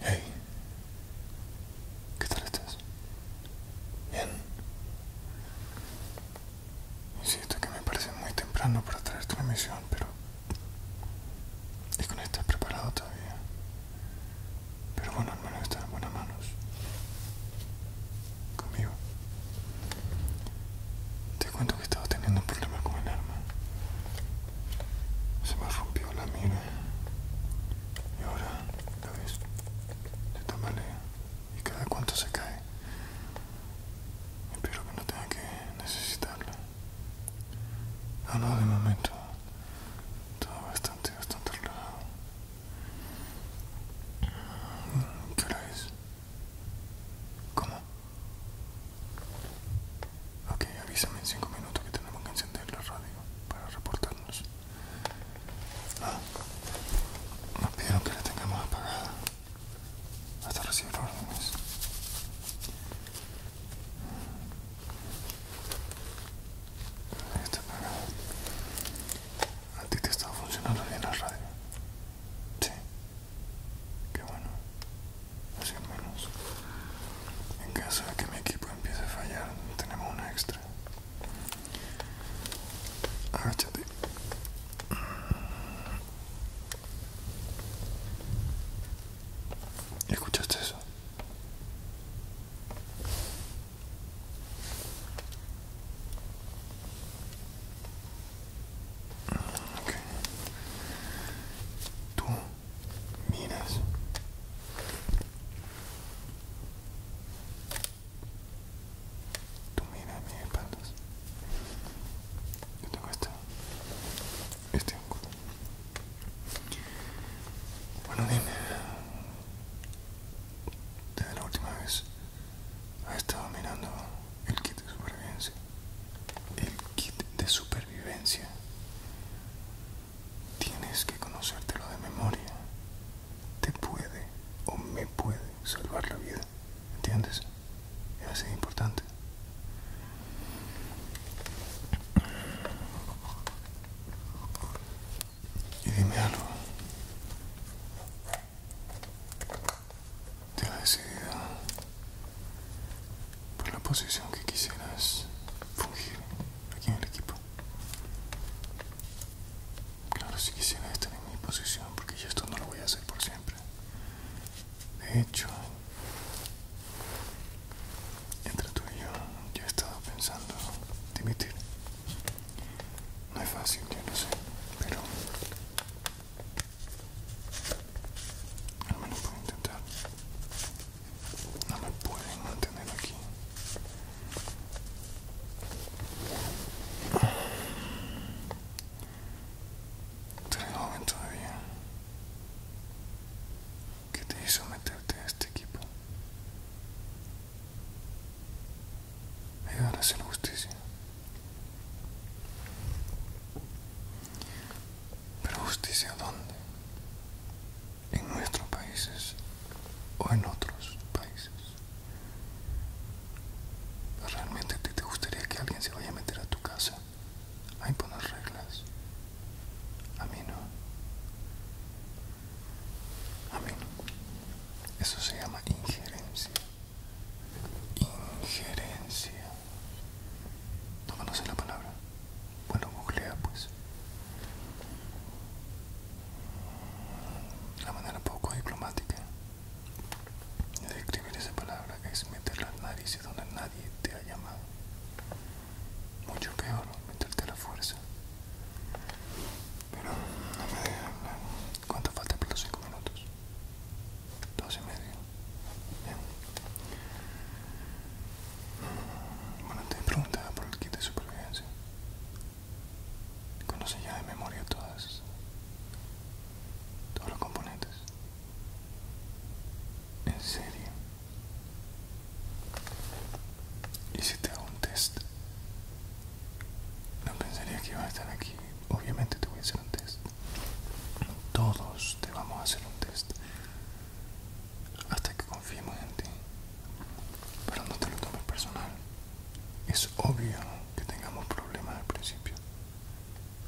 Hey, ¿qué tal estás? Bien. Insisto que me parece muy temprano para traerte una misión, pero... Es que no estás preparado todavía. Pero bueno, hermano, estás en buenas manos. Conmigo. Te cuento que estaba teniendo un problema con el arma. Se me rompió la mira. Y ahora, la ves, se tambalea. Y cada cuanto se cae. Espero que no tenga que necesitarla. Ah, no, de momento. Todo bastante, bastante relajado. ¿Qué hora es? ¿Cómo? Ok, avísame en 5 minutos que tenemos que encender la radio para reportarnos. Ah, nos pidieron que la tengamos apagada hasta recibir órdenes. Está apagada. A ti te estaba funcionando bien la radio. Sí que bueno, así menos en caso de que mi equipo empiece a fallar tenemos una extra. ¿Escuchaste eso? Tú miras. Tú miras mis espaldas. Yo tengo esta. Este Bueno, dime. Desde la última vez ha estado mirando el kit de supervivencia el kit de supervivencia tienes que conocértelo de memoria te puede o me puede salvar la vida entiendes es así importante y dime algo te la decidido por la posición que quisieras fungir aquí en el equipo. Claro, si quisieras estar en mi posición, porque yo esto no lo voy a hacer por siempre. De hecho, entre tú y yo, ya he estado pensando dimitir. No es fácil, yo no sé, pero me lo puedo intentar. No me pueden mantener aquí. Eres joven todavía. ¿Qué te hizo meterte a este equipo? ayudaron a hacer justicia. Pero justicia dónde? En nuestros países o en otros países. ¿Realmente te, te gustaría que alguien se vaya a meter a tu casa a imponer reglas? A mí no. A mí no. Eso se llama injerencia. Injerencia. ¿No la palabra? Bueno, googlea pues. La manera poco diplomática de escribir esa palabra es meter nariz narices donde nadie te ha llamado. Mucho peor, meterte a la fuerza. Pero no me dejes ¿Cuánto falta por los cinco minutos? dos y medio. Mm, bueno, te he preguntado por el kit de supervivencia. Conoce ya de memoria todas, todos los componentes. En serio. Y si te hago un test, no pensaría que iba a estar aquí. Obviamente te voy a hacer un test. Todos te vamos a hacer un test hasta que confiemos en ti. Pero no te lo tomes personal. Es obvio que tengamos problemas al principio.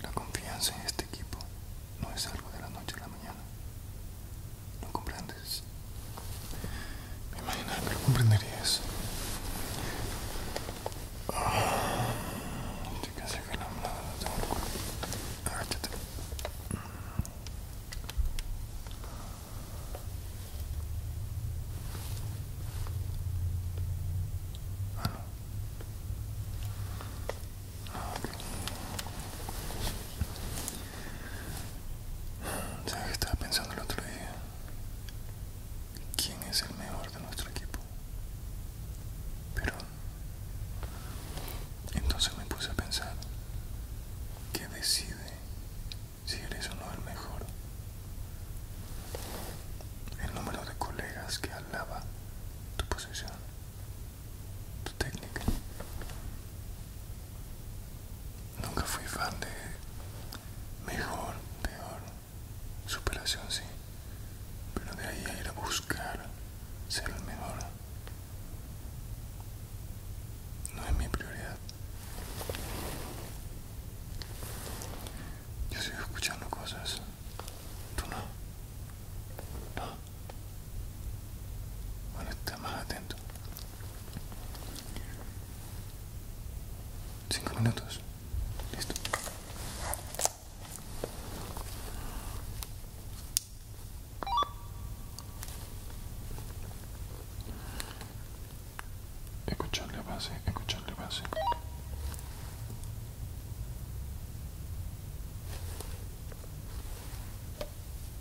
La confianza en este equipo no es algo de la noche a la mañana. ¿No comprendes? Me imagino que lo comprenderías. Agáchate que se queda la lado de tu Agáchate. Ah, no. Ah, okay. ¿Sabes qué estaba pensando el otro día? ¿Quién es el mejor de nuestro equipo? Pero entonces me puse a pensar, ¿qué decide si eres o no el mejor? El número de colegas que alaba tu posición, tu técnica. Nunca fui fan de mejor, peor, superación sí pero de ahí a ir a buscar ser el mejor no es mi prioridad. Yo sigo escuchando cosas, tú no, Bueno, está más atento. Cinco minutos. Listo. Escucharle base, escucharle base.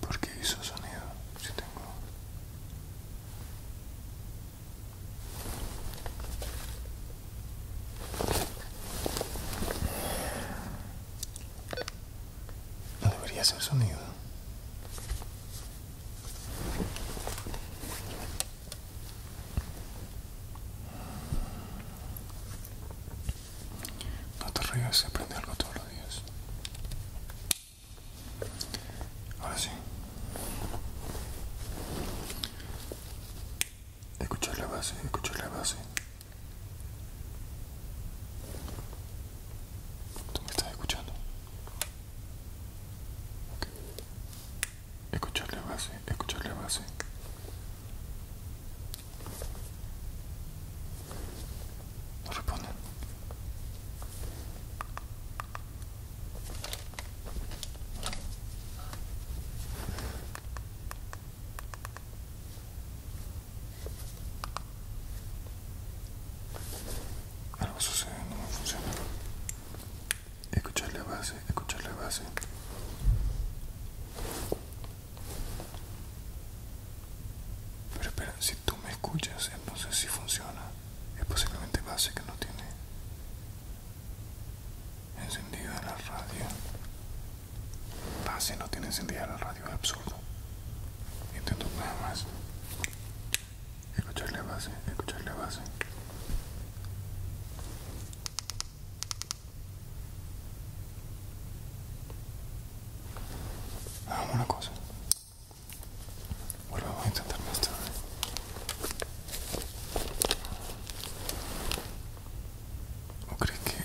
¿Por qué hizo sonido? Si tengo. No debería ser sonido. No te rías, aprende algo todos los días. Ahora sí. Escuchar la base, escuchar la base. ¿Tú me estás escuchando? Escucharle Escuchar base, escucharle la base. Algo sucede, no me funciona. Escuchar la base, escuchar la base. Pero espera, si tú me escuchas, entonces si funciona. Es posiblemente base que no tiene Encendida la radio Base no tiene encendida la radio, es absurdo. Intento nada más Escucharle la base, escucharle base. Hagamos una cosa. Vuelvo a intentar más tarde. ¿O crees que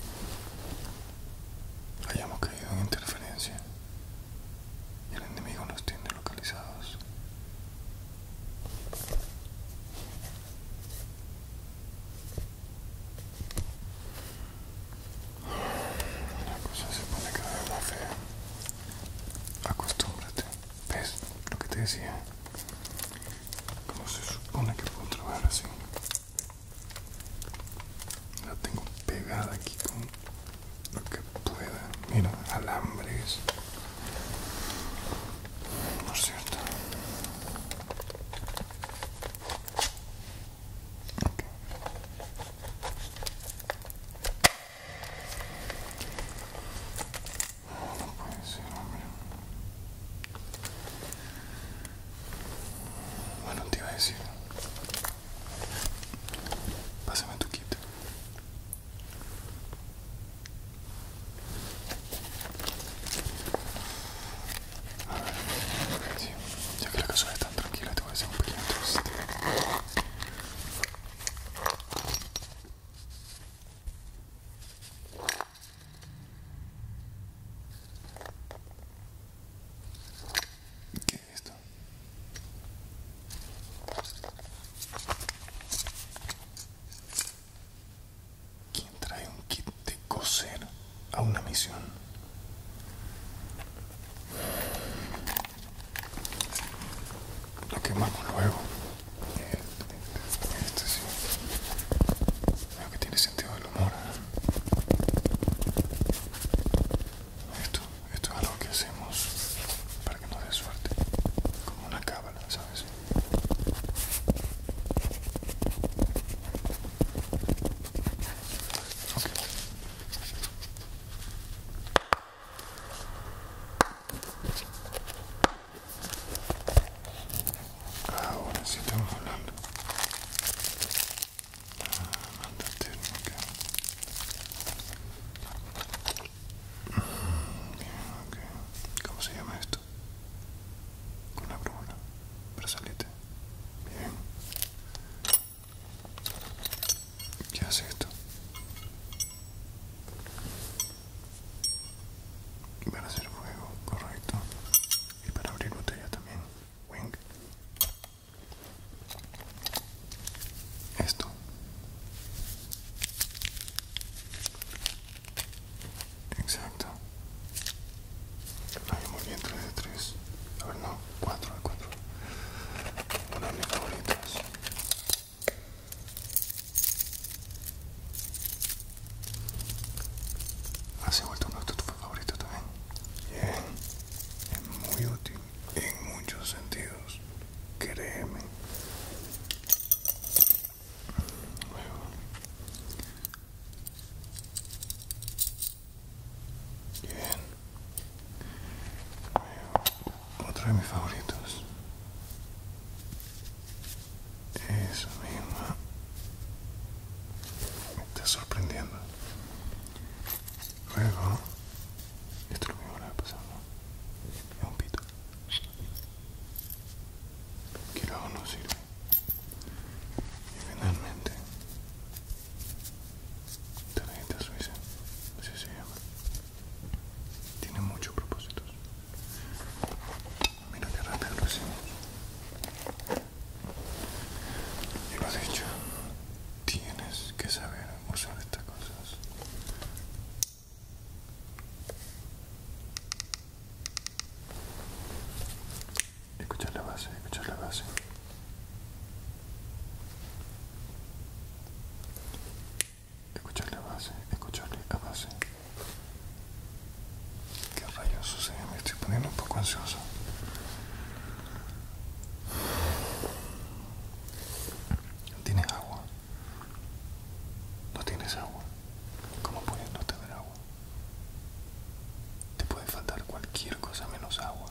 hayamos caído en interferencia y el enemigo nos tiene localizados? La cosa se pone cada vez más fea. Acostúmbrate. ¿Ves lo que te decía? Como se supone que puedo trabajar así? La tengo pegada aquí con lo que pueda. Mira, alambres. Por cierto. No puede ser, bueno, te iba a decir. Pásame tu kit. A ver, ya que la casa es tan tranquila, te voy a hacer un pequeño ¿Qué es esto? ¿Quién trae un kit de coser a una misión? Lo quemamos luego. Este, este, este, Veo que tiene sentido el humor. ¿eh? Esto, esto es algo que hacemos para que nos dé suerte. Como una cábala, ¿sabes? Ok Ahora sí estamos hablando. Ah, manda térmica. Bien, ok. ¿Cómo se llama esto? la brújula. salirte. Bien. ¿Qué hace esto? Para hacer fuego, correcto. Y para abrir botella también. ¿Wing? Esto. Exacto. hay muy de A ver, no, cuatro, de cuatro Ah, Hace vuelto un tu favorito también. Bien. Es muy útil en muchos sentidos. Créeme. Bien. Otro de mis favoritos. Eso mismo. Está sorprendiendo. Luego, esto lo mismo le la a Es un pito. Quiero conocer no sirve. Y finalmente, tarjeta suiza, así se llama. Tiene muchos propósitos. Mira que rápido lo hicimos. Y lo dicho, tienes que saber usar estas cosas. Escuchar la base, escuchar la base. Escuchar la base, escucharle la base. ¿Qué rayos sucede? Me estoy poniendo un poco ansioso. ¿Tienes agua? No tienes agua. ¿Cómo puedes no tener agua? Te puede faltar cualquier cosa menos agua.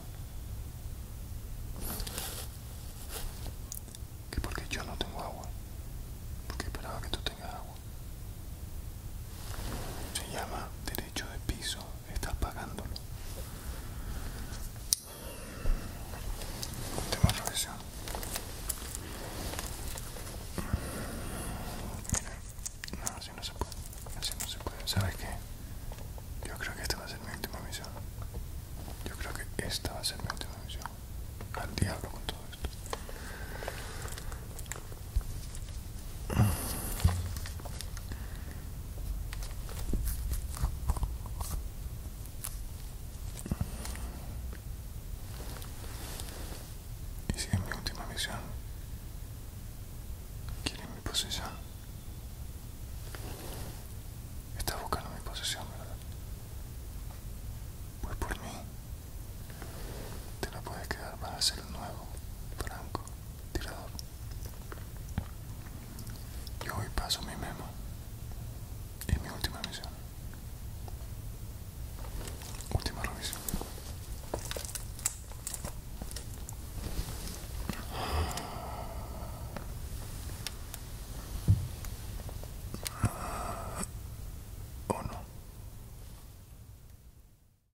Que porque yo no tengo agua. Porque esperaba que tú tengas agua. Se llama derecho de piso, estás pagándolo. Última revisión. Mira, no, así no se puede. Así no se puede. ¿Sabes qué? Yo creo que esta va a ser mi última misión. Yo creo que esta va a ser mi última misión. Al diablo con todo esto. Y si mi última misión, ¿Quiere mi posesión. Estás buscando mi posesión, ¿verdad? Pues por mí, te la puedes quedar para hacer el nuevo, Franco tirador. Yo hoy paso mi memo y mi última misión. Última revisión. ¿O no?